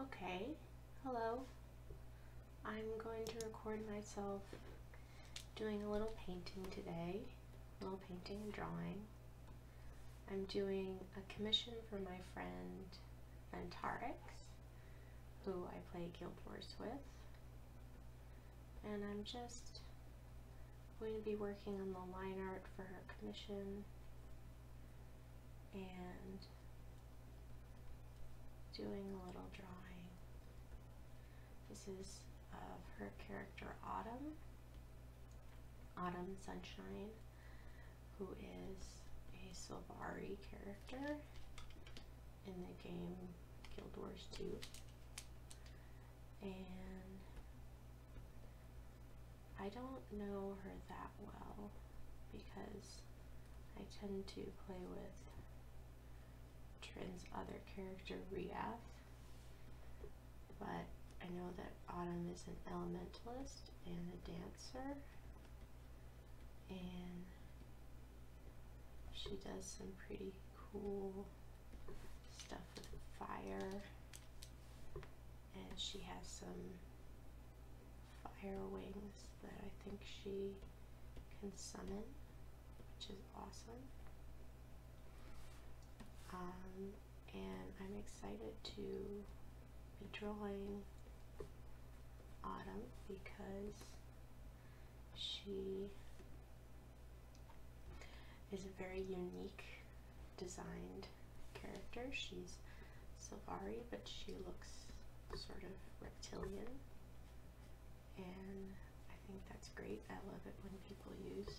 Okay, hello. I'm going to record myself doing a little painting today, a little painting and drawing. I'm doing a commission for my friend Ventarix, who I play Guild Wars with. And I'm just going to be working on the line art for her commission and doing a little drawing. This is of her character Autumn, Autumn Sunshine, who is a Silvari character in the game Guild Wars 2. And I don't know her that well because I tend to play with Trin's other character, Riaf. But I know that Autumn is an elementalist and a dancer. And she does some pretty cool stuff with fire and she has some fire wings that I think she can summon, which is awesome. Um, and I'm excited to be drawing Autumn because she is a very unique designed character. She's Silvari, but she looks sort of reptilian. And I think that's great. I love it when people use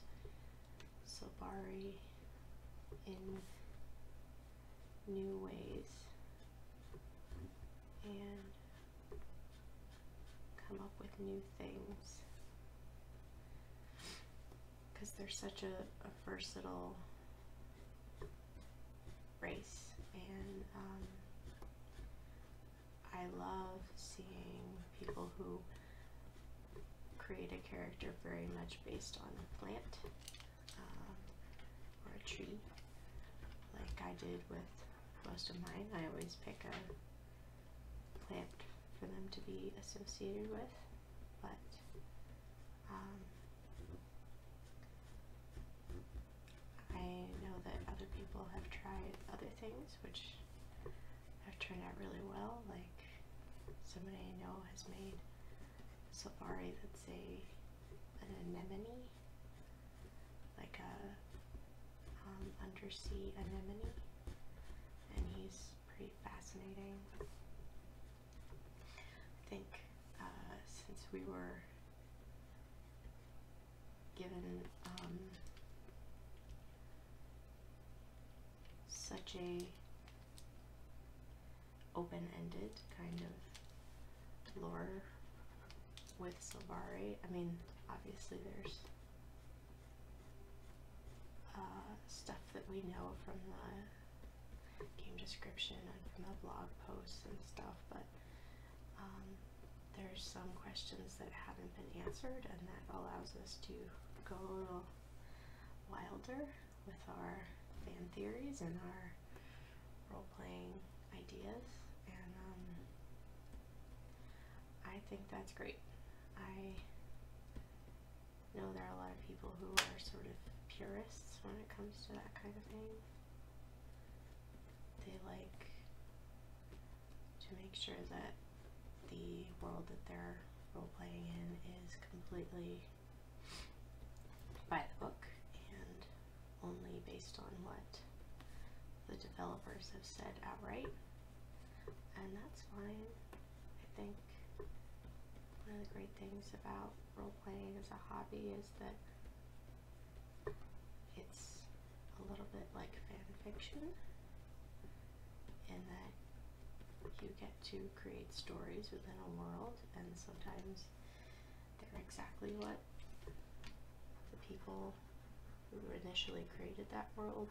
Silvari in new ways and come up with new things because they're such a, versatile race, and um, I love seeing people who create a character very much based on a plant um, or a tree, like I did with most of mine. I always pick a plant for them to be associated with, but um, I know that other people have tried other things which have turned out really well. Like somebody I know has made a safari that's a an anemone, like a um, undersea anemone, and he's pretty fascinating. I think uh, since we were given um, such a open-ended kind of lore with Silvari, I mean obviously there's uh, stuff that we know from the game description and from the blog posts and stuff, but um, there's some questions that haven't been answered, and that allows us to go a little wilder with our fan theories and our role playing ideas, and um, I think that's great. I know there are a lot of people who are sort of purists when it comes to that kind of thing. They like to make sure that the world that they're role playing in is completely by the book and only based on what the developers have said outright. And that's fine. I think one of the great things about role playing as a hobby is that it's a little bit like fan fiction in that you get to create stories within a world and sometimes they're exactly what the people who initially created that world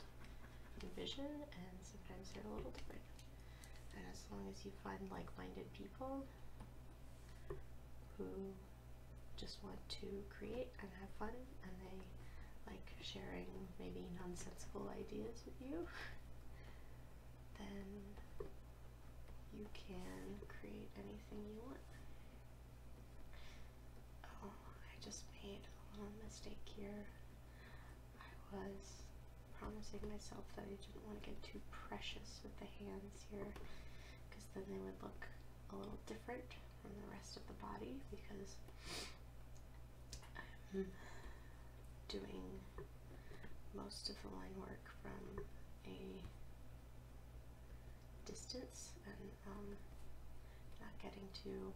envision and sometimes they're a little different and as long as you find like-minded people who just want to create and have fun and they like sharing maybe nonsensical ideas with you then you can create anything you want oh I just made a little mistake here I was promising myself that I didn't want to get too precious with the hands here because then they would look a little different from the rest of the body because I'm doing most of the line work from a distance and um, not getting too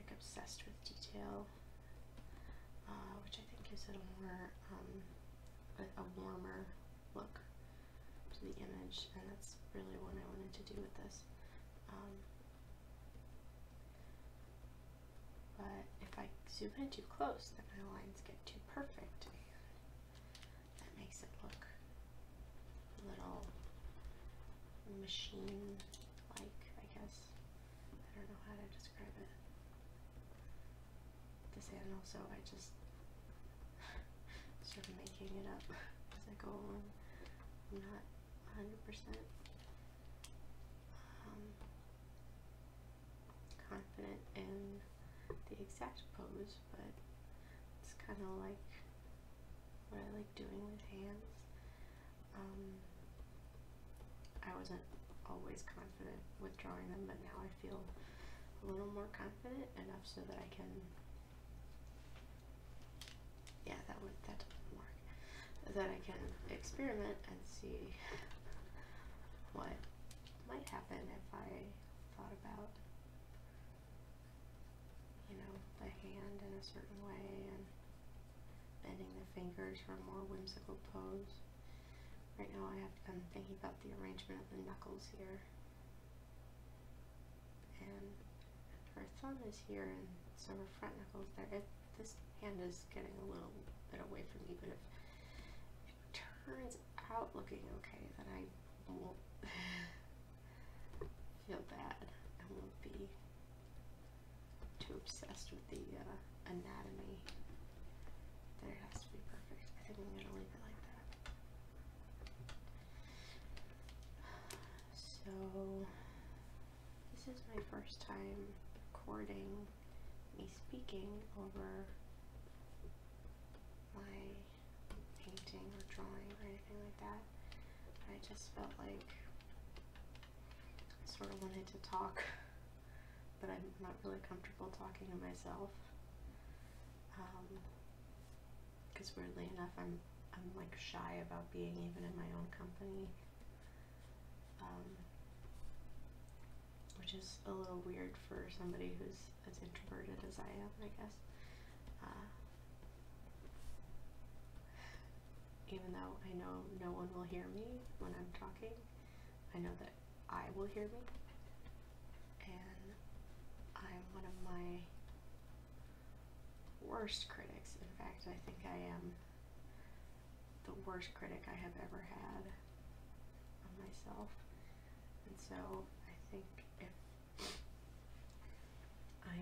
like obsessed with detail uh, which I think gives it a more um, a, warmer look to the image, and that's really what I wanted to do with this. Um, but if I zoom in too close, then my lines get too perfect, and that makes it look a little machine-like, I guess. I don't know how to describe it this handle, so I just started making it up as I go along. I'm not 100% um, confident in the exact pose, but it's kind of like what I like doing with hands. Um, I wasn't always confident with drawing them, but now I feel a little more confident enough so that I can. Yeah, that would that doesn't work. That I can experiment and see what might happen if I thought about you know the hand in a certain way and bending the fingers for a more whimsical pose. Right now I have been thinking about the arrangement of the knuckles here. And her thumb is here and so her front knuckle's there. If this hand is getting a little bit away from me, but if it turns out looking okay, then I won't feel bad. I won't be too obsessed the uh, anatomy There has to be perfect. I think I'm gonna leave it like that. So this is my first time recording me speaking over my painting or drawing or anything like that. I just felt like I sort of wanted to talk but I'm not really comfortable talking to myself. Because um, weirdly enough, I'm I'm like shy about being even in my own company, um, which is a little weird for somebody who's as introverted as I am, I guess. Uh, even though I know no one will hear me when I'm talking, I know that I will hear me, And I'm one of my worst critics. In fact, I think I am the worst critic I have ever had of myself. And so I think if I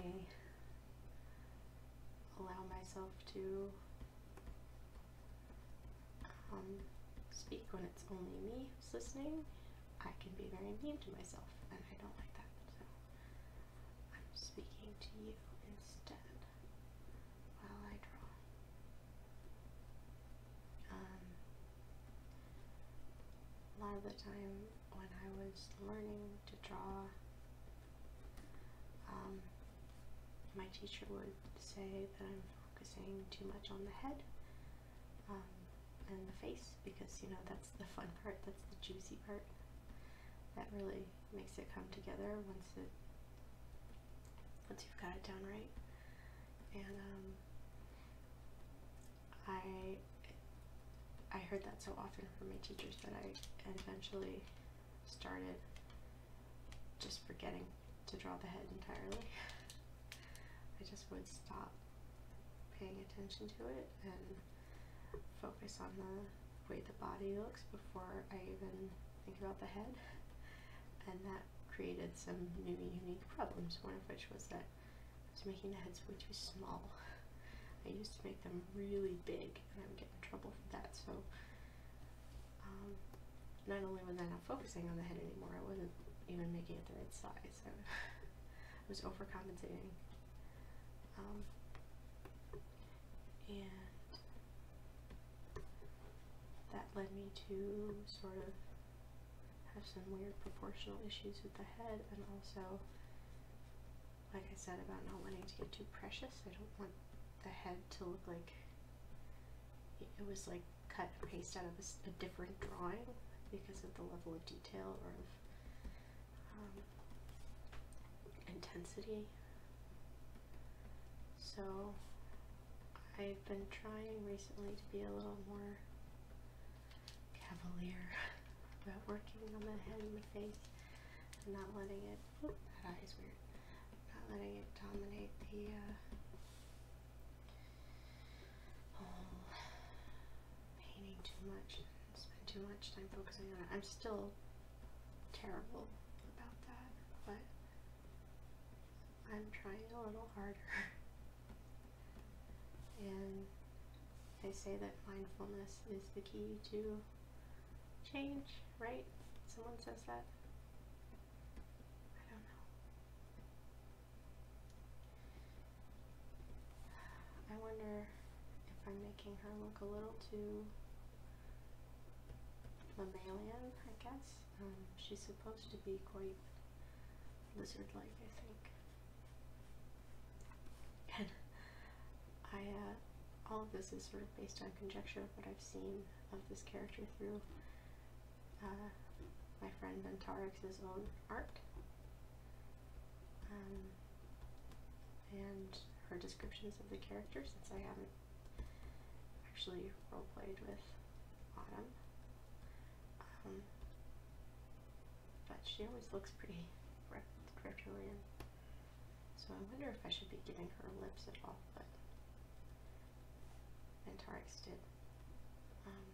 allow myself to um, speak when it's only me who's listening, I can be very mean to myself, and I don't like that. So I'm speaking to you instead while I draw. Um, a lot of the time when I was learning to draw, um, my teacher would say that I'm focusing too much on the head um, and the face because you know that's the fun part, that's the juicy part. That really makes it come together once it once you've got it down right. And um, I I heard that so often from my teachers that I eventually started just forgetting to draw the head entirely. I just would stop paying attention to it and focus on the way the body looks before I even think about the head. And that created some new unique problems, one of which was that I was making the heads way too small. I used to make them really big and I'm getting in trouble for that, so um, not only was I not focusing on the head anymore, I wasn't even making it the right size. I was overcompensating. Um, and that led me to sort of have some weird proportional issues with the head and also like I said about not wanting to get too precious I don't want the head to look like it was like cut and paste out of a, different drawing because of the level of detail or of um, intensity. So I've been trying recently to be a little more cavalier about working on the head and the face and not letting it. that eye is weird. Not letting it dominate the uh, oh, painting too much. spend too much time focusing on it. I'm still terrible about that, but I'm trying a little harder. and they say that mindfulness is the key to change, right? Someone says that. I don't know. I wonder if I'm making her look a little too mammalian, I guess. Um, she's supposed to be quite lizard-like, I think. I, uh, all of this is sort of based on conjecture of what I've seen of this character through uh, my friend Ventarix's own art um, and her descriptions of the character since I haven't actually roleplayed with Autumn. Um, but she always looks pretty reptilian. So I wonder if I should be giving her lips at all, but and Tarx did um,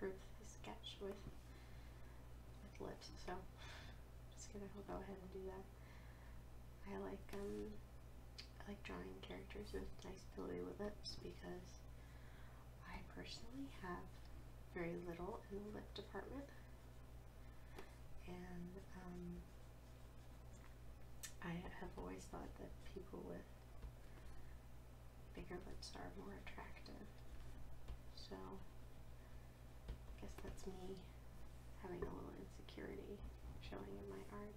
the sketch with with lips. So I'm just gonna go ahead and do that. I like um I like drawing characters with nice ability with lips because I personally have very little in the lip department. And um, I have always thought that people with bigger lips are more attractive. So, I guess that's me having a little insecurity showing in my art.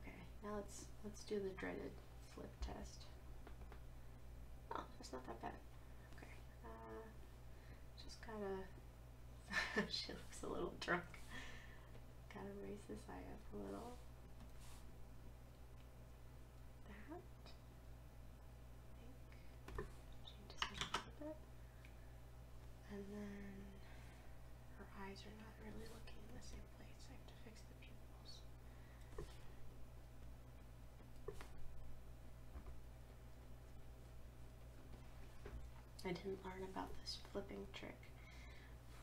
Okay, now let's let's do the dreaded flip test. Oh, that's not that bad. Okay, uh, just gotta she looks a little drunk. Gotta raise this eye up a little. That. think. Change this a little bit. And then her eyes are not really looking in the same place. I have to fix the pupils. I didn't learn about this flipping trick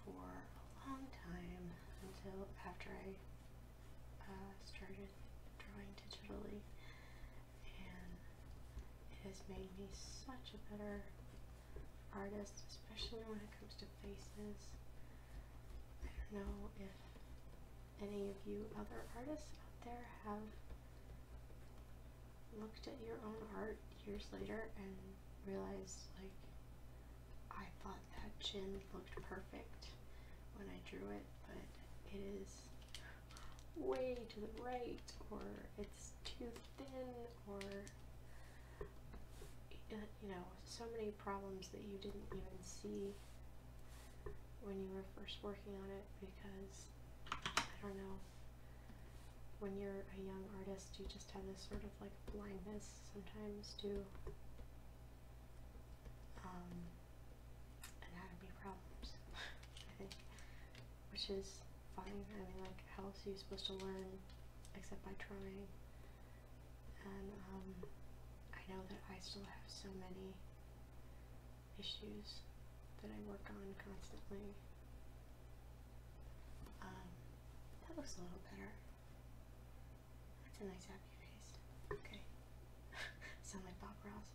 for a long time until after I uh, started drawing digitally, and it has made me such a better artist, especially when it comes to faces. I don't know if any of you other artists out there have looked at your own art years later and realized like I thought that chin looked perfect when I drew it, but it is way to the right or it's too thin or you know, so many problems that you didn't even see when you were first working on it because I don't know, when you're a young artist, you just have this sort of like blindness sometimes to um, anatomy problems, I think, which is fine. I mean, like, how else are you supposed to learn except by trying? And um, I know that I still have so many issues that I work on constantly um, that looks a little better. That's a nice happy face. Okay. Sound like Bob Ross.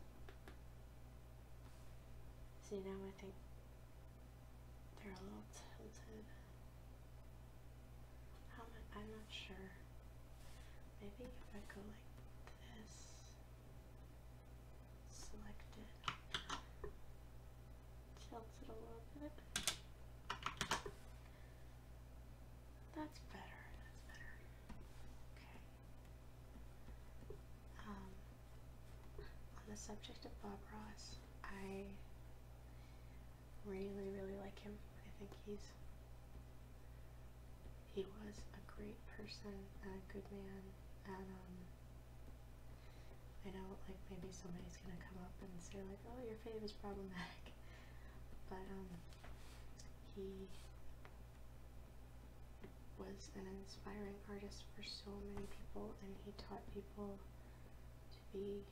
See now I think they're a little tilted. How much I'm not sure. Maybe if I go like this select it, tilt it a little bit. That's better, that's better. Okay. Um, on the subject of Bob Ross, I really, really like him. I think he's he was a great person and a good man and um I know like maybe somebody's gonna come up and say like oh your fave is problematic but um he was an inspiring artist for so many people and he taught people to be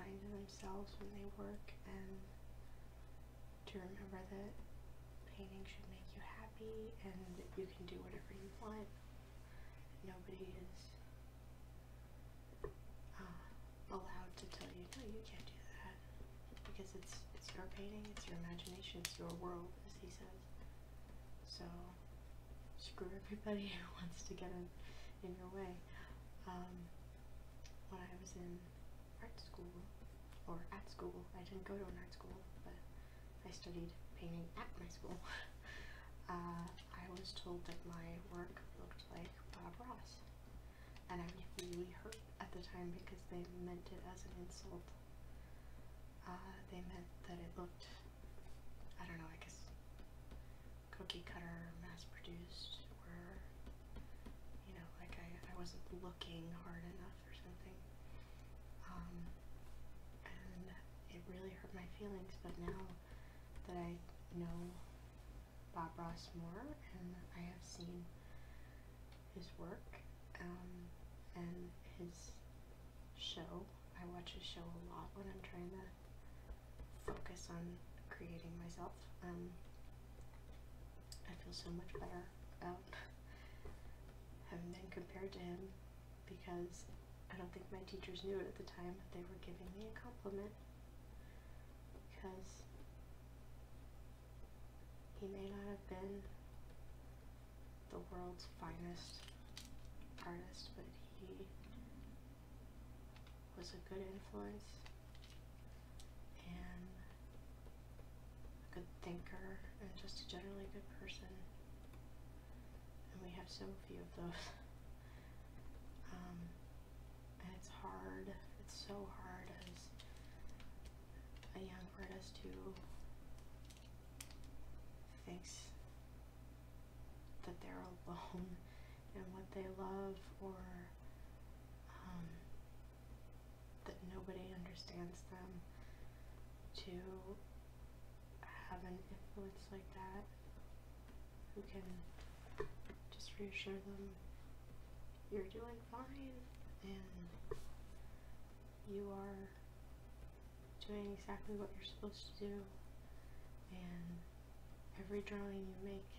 kind to themselves when they work and to remember that painting should make you happy and you can do whatever you want nobody is uh, allowed to tell you, no, you can't do that because it's it's your painting, it's your imagination, it's your world, as he says. So screw everybody who wants to get in in your way. Um, when I was in art school or at school, I didn't go to an art school, but I studied painting at my school. Uh, I was told that my work looked like Bob Ross, and I was really hurt at the time because they meant it as an insult. Uh, they meant that it looked, I don't know, I guess cookie cutter, mass produced, or, you know, like I, I wasn't looking hard enough or something. Um, and it really hurt my feelings, but now that I know Bob Ross more and I have seen his work um, and his show, I watch his show a lot when I'm trying to focus on creating myself. Um, I feel so much better about having been compared to him because I don't think my teachers knew it at the time, but they were giving me a compliment because he may not have been the world's finest artist, but he was a good influence and a good thinker and just a generally good person and we have so few of those. Um, and it's hard, it's so hard as a young bird artist to thinks that they're alone in what they love or um, that nobody understands them to have an influence like that who can just reassure them you're doing fine and you are doing exactly what you're supposed to do and every drawing you make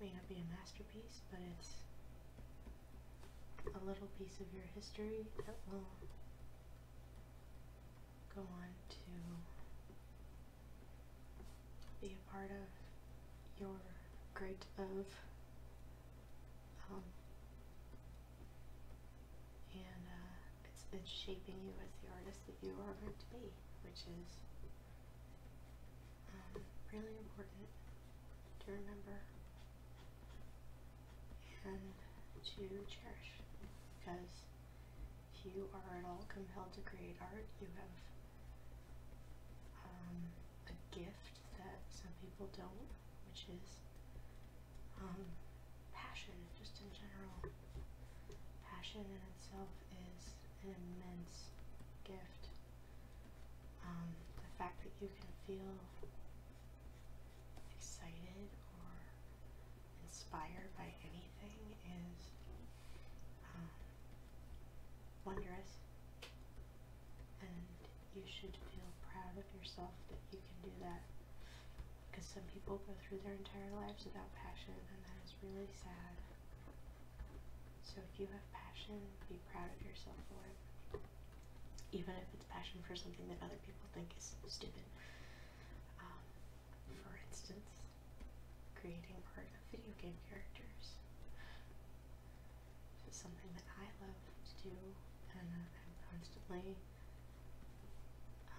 may not be a masterpiece but it's a little piece of your history that will go on to be a part of your great of um, and uh, it's, it's shaping you as the artist that you are going to be, which is um, really important to remember and to cherish because if you are at all compelled to create art, you have um, a gift that some people don't, which is um, passion, just in general. Passion in itself is an immense gift. Um, the fact that you can feel excited or inspired by anything is uh, wondrous, and you should feel proud of yourself that you can do that. Because some people go through their entire lives without passion, and that is really sad. So if you have passion, be proud of yourself for it. Even if it's passion for something that other people think is stupid. Um, for instance, creating part of video game characters. is something that I love to do, and I'm constantly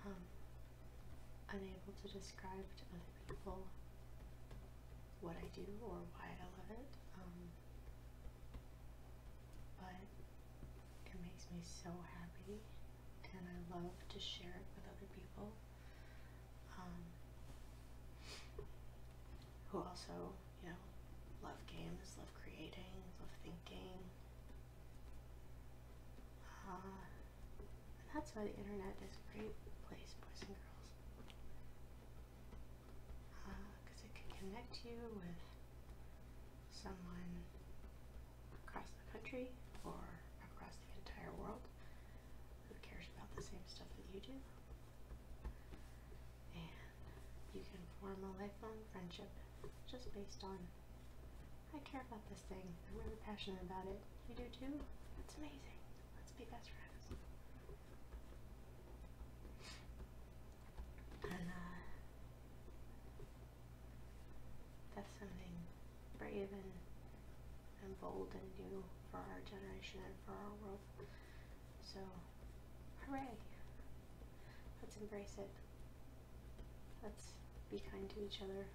um, unable to describe to other people what I do or why I love it. Um, but it makes me so happy and I love to share it with other people um, who also, you know, love games, love creating, love thinking. Uh, and that's why the internet is a great place, boys and girls. Because uh, it can connect you with someone across the country or across the entire world who cares about the same stuff that you do. And you can form a lifelong friendship just based on I care about this thing, I'm really passionate about it, you do too, it's amazing, let's be best friends. And uh, that's something brave and, bold and new for our generation and for our world. So, hooray! Let's embrace it. Let's be kind to each other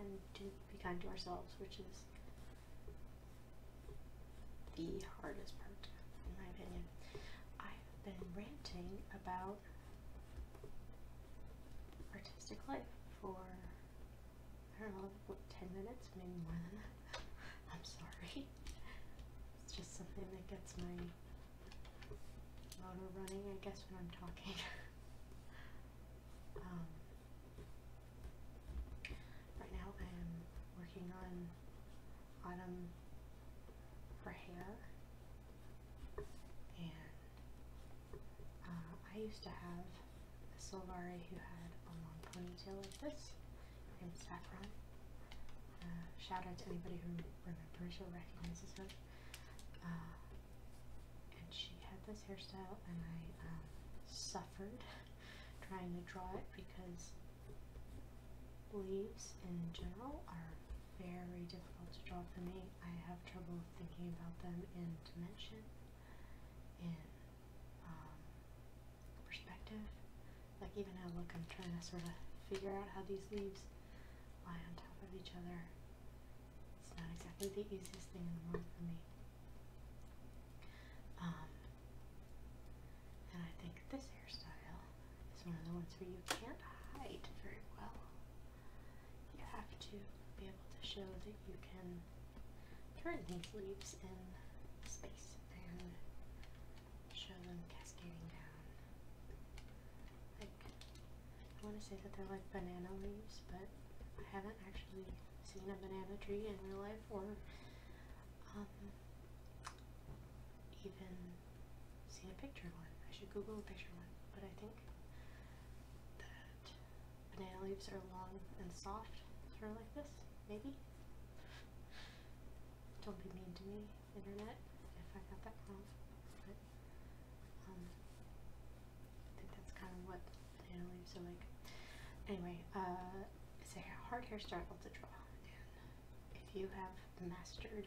and to be kind to ourselves, which is the hardest part, in my opinion. I've been ranting about artistic life for I don't know, what, 10 minutes, maybe more than that. I'm sorry. It's just something that gets my motor running, I guess, when I'm talking. Um, right now I am working on autumn for hair and uh, I used to have a Solari who had a long ponytail like this, named Saffron. Uh, shout out to anybody who remembers or recognizes her. Uh, and she had this hairstyle, and I um, suffered trying to draw it because leaves in general are very difficult to draw for me. I have trouble thinking about them in dimension, in um, perspective. Like even now, look, I'm trying to sort of figure out how these leaves lie on top of each other. It's not exactly the easiest thing in the world for me. Um, and I think this hairstyle it's one of the ones where you can't hide very well. You have to be able to show that you can turn these leaves in space and show them cascading down. I want to say that they're like banana leaves, but I haven't actually seen a banana tree in real life or um, even seen a picture one. I should Google a picture of one, but I think that banana leaves are long and soft, sort like this, maybe. Don't be mean to me, internet, if I got that wrong. But um, I think that's kind of what banana leaves are like. Anyway, uh, it's a hard hair struggle to draw, if you have mastered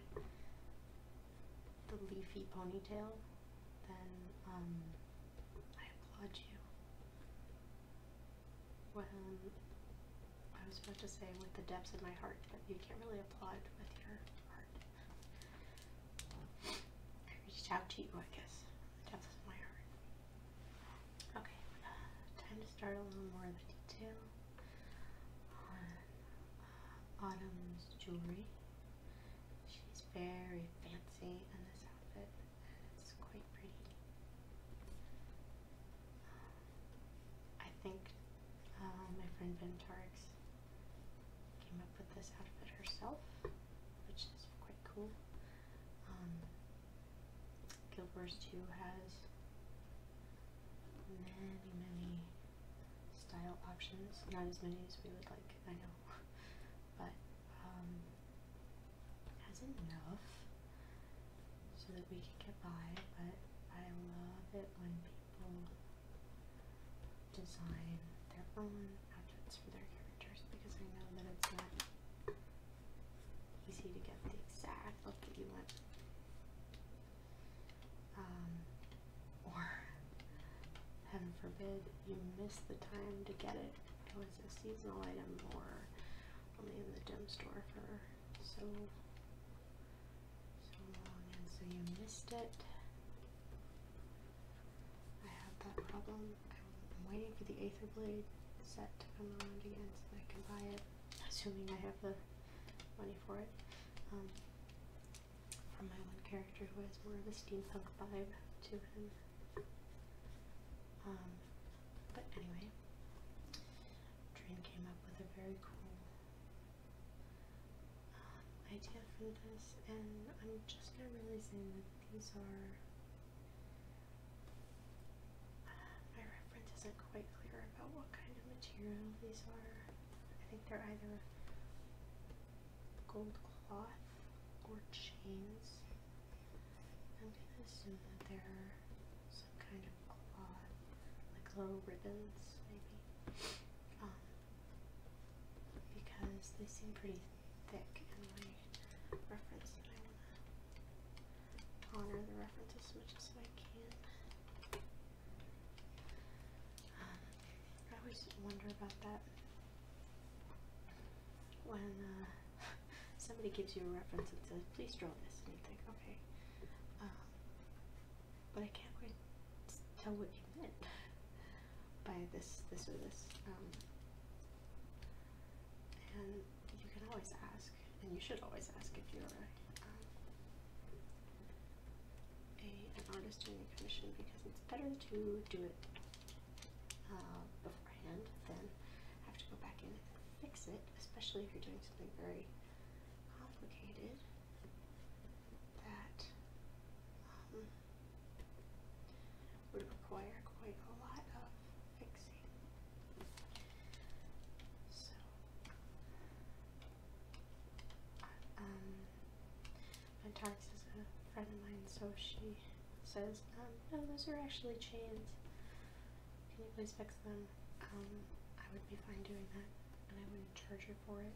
the leafy ponytail, then um, I applaud you. When I was about to say with the depths of my heart, but you can't really applaud with your heart. I reached out to you, I guess. The depths of my heart. Okay, uh, time to start a little more of the detail on Autumn's jewelry. She's very fancy in this outfit and it's quite pretty. I think uh, my friend Ventarix came up with this outfit herself, which is quite cool. Um, Guild 2 has many, many style options. Not as many as we would like, I know. but um has enough so that we can get by, but I love it when people design their own outfits for their characters because I know that it's not easy to get the exact look that you want. Um, or heaven forbid you miss the time to get it It was a seasonal item or only in the dim store for so so long and so you missed it I have that problem I'm waiting for the Aether Blade set to come around again so that I can buy it assuming I have the money for it um, from my one character who has more of a steampunk vibe to him. Um, but anyway, Drain came up with a very cool um, idea for this, and I'm just now realizing that these are. Uh, my reference isn't quite clear about what kind of material these are. I think they're either gold cloth or chains. I'm gonna assume that they're some kind of cloth, like little ribbons, maybe. Um, because they seem pretty thick, and my reference, and I wanna honor the reference as much as I can. I always wonder about that when uh, somebody gives you a reference and says, please draw this, and you think, okay, um, but I can't quite tell what you meant by this, this, or this. Um, and you can always ask, and you should always ask if you're a, uh, an artist doing a commission because it's better to do it uh, beforehand than have to go back in and fix it, especially if you're doing something very complicated that um, would require quite a lot of fixing. My um, Antarctica is a friend of mine, so she says, um, no, those are actually chains. Can you please fix them? Um, I would be fine doing that, and I wouldn't charge her for it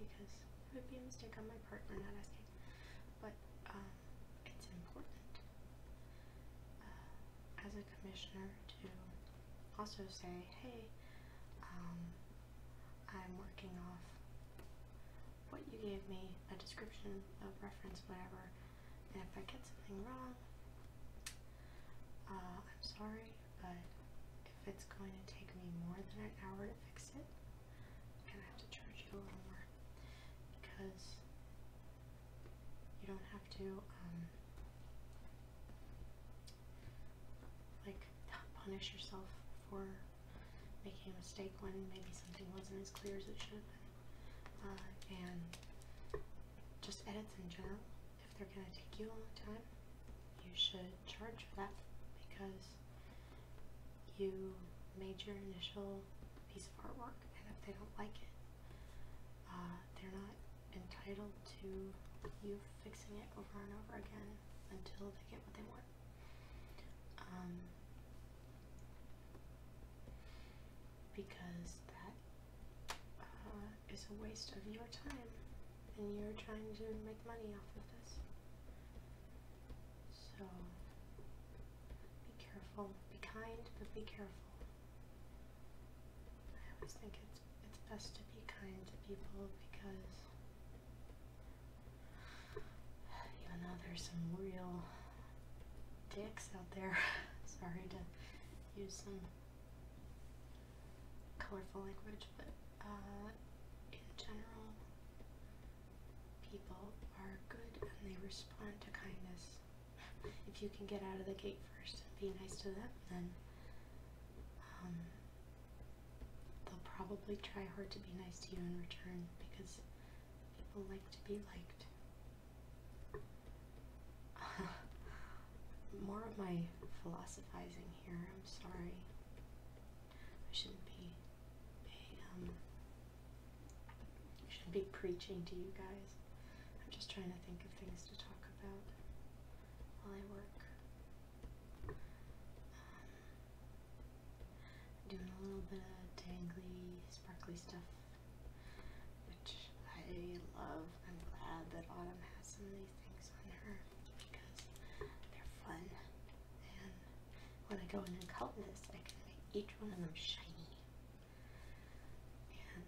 because it would be a mistake on my part for not asking. But um, it's important uh, as a commissioner to also say, hey, I'm working off what you gave me, a description, a reference, whatever. And if I get something wrong, uh, I'm sorry, but if it's going to take me more than an hour to fix it, I'm going to have to charge you a little more because you don't have to um, like not punish yourself for making a mistake when maybe something wasn't as clear as it should uh, and just edits in general, if they're going to take you a long time, you should charge for that because you made your initial piece of artwork, and if they don't like it, uh, they're not entitled to you fixing it over and over again until they get what they want. Um, because that uh, is a waste of your time and you're trying to make money off of this. So be careful, be kind, but be careful. I always think it's it's best to be kind to people because Even though there's some real dicks out there. Sorry to use some colorful language, but uh, in general, people are good and they respond to kindness. if you can get out of the gate first and be nice to them, then um, they'll probably try hard to be nice to you in return because people like to be liked. More of my philosophizing here, I'm sorry. I shouldn't be um, I, um shouldn't be preaching to you guys. I'm just trying to think of things to talk about while I work. Um, doing a little bit of tangly, sparkly stuff, which I love. I'm glad that Autumn has some of these things on her because they're fun. And when I go in and color this, I can make each one of them shiny. And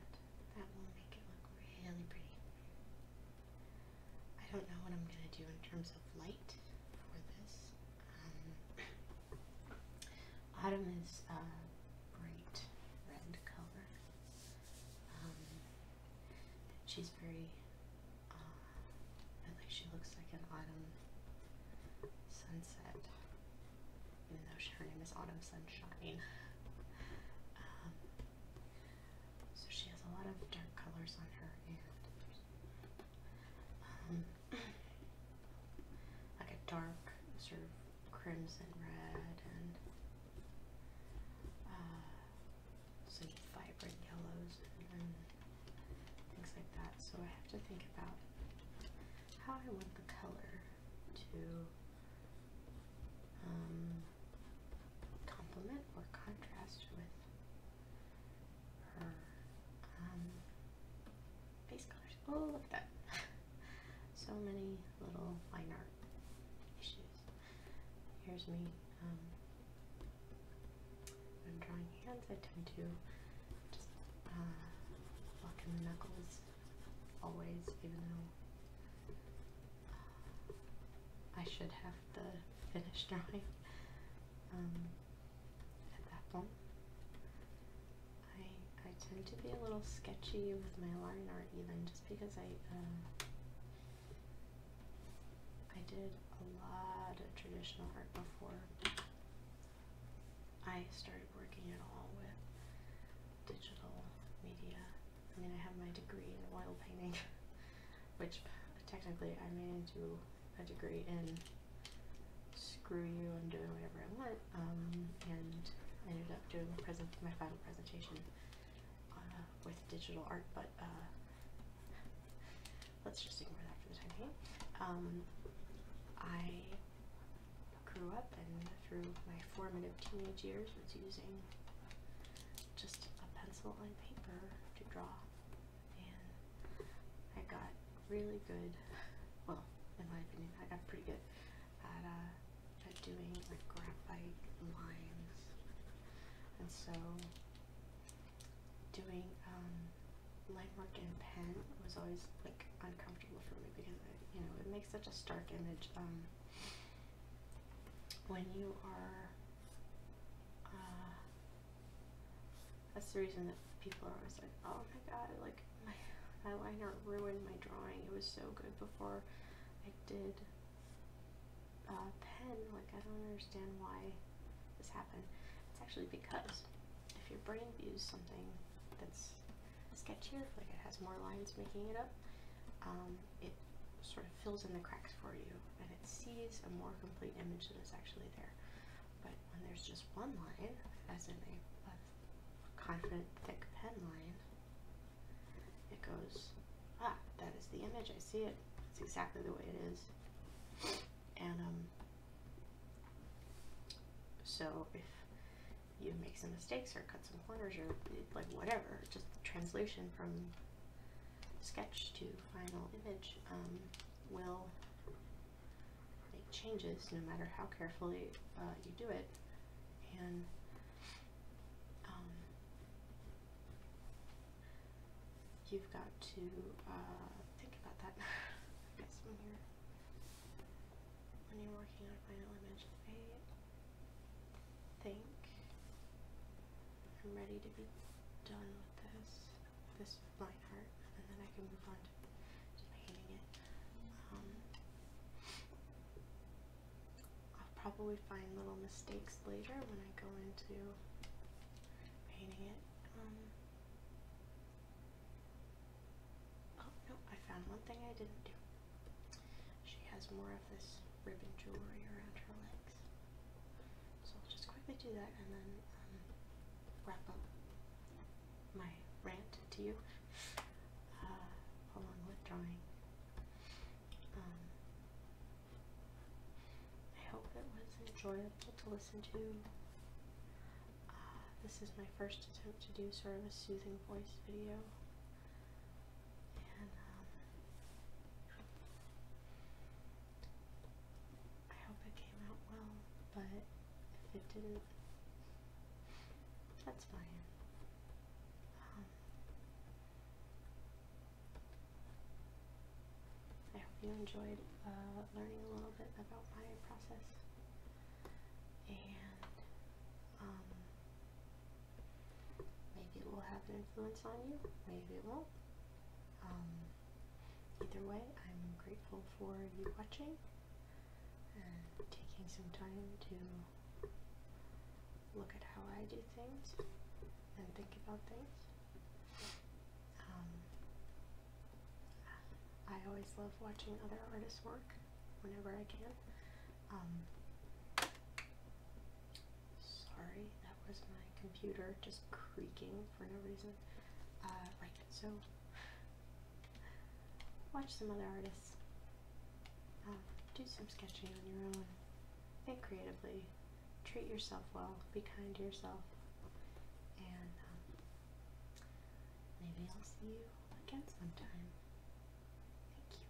that will make it look really pretty. I don't know what I'm gonna do in terms of light for this. Um, autumn is a bright red color. Um, she's very, like uh, she looks like an autumn sunset, even though her name is Autumn Sunshine. Um, so she has a lot of dark colors on her and um, like a dark sort of crimson red and uh, some vibrant yellows and, things like that. So I have to think about how I want the color to um, complement or contrast with her um, colors. Oh, look at that. so many little line art issues. Here's me. when um, drawing hands, I tend to just uh, lock in the knuckles always, even though I should have the finished drawing um, at that point. I, I tend to be a little sketchy with my line art even just because I um, I did a lot of traditional art before I started working at all with digital media I mean, I have my degree in oil painting, which technically I made into a degree in screw you, I'm doing whatever I want, um, and I ended up doing my, final presentation uh, with digital art, but uh, let's just ignore that for the time being. Um, I grew up and through my formative teenage years was using just a pencil and paper to draw, and I got really good. Well, in my opinion, I got pretty good at uh, at doing like graphite lines, and so doing um, line work in pen was always like uncomfortable for me because I, you know it makes such a stark image. Um, when you are uh, that's the reason that people are always like oh my god like my eyeliner ruined my drawing it was so good before I did uh, pen like I don't understand why this happened it's actually because if your brain views something that's sketchier like it has more lines making it up um, it sort of fills in the cracks for you and it sees a more complete image than is actually there. But when there's just one line, as in a, confident thick pen line, it goes, ah, that is the image, I see it. It's exactly the way it is. And um, so if you make some mistakes or cut some corners or like whatever, just translation from sketch to final image um, will make changes no matter how carefully uh, you do it. And um, you've got to uh, think about that. I guess when you're, when you're working on a final image, I think I'm ready to be done with this, this line art, and then I can move on to, painting it. Um, I'll probably find little mistakes later when I go into painting it. Um, oh no, I found one thing I didn't do. She has more of this ribbon jewelry around her leg. So I'll just quickly do that and then um, wrap up my rant to you uh, along with drawing. Um, I hope it was enjoyable to listen to. Uh, this is my first attempt to do sort of a soothing voice video. Um, I hope it came out well, but if it didn't, that's fine. Um, I hope you enjoyed uh, learning a little bit about my process and um, maybe it will have an influence on you, maybe it won't. Um, either way, I'm grateful for you watching and taking some time to look at how I do things and think about things. Um, I always love watching other artists work whenever I can. Um, Sorry, that was my computer just creaking for no reason. Uh, right, so watch some other artists. Uh, do some sketching on your own. Think creatively. Treat yourself well. Be kind to yourself. And um, maybe I'll see you again sometime. Thank you.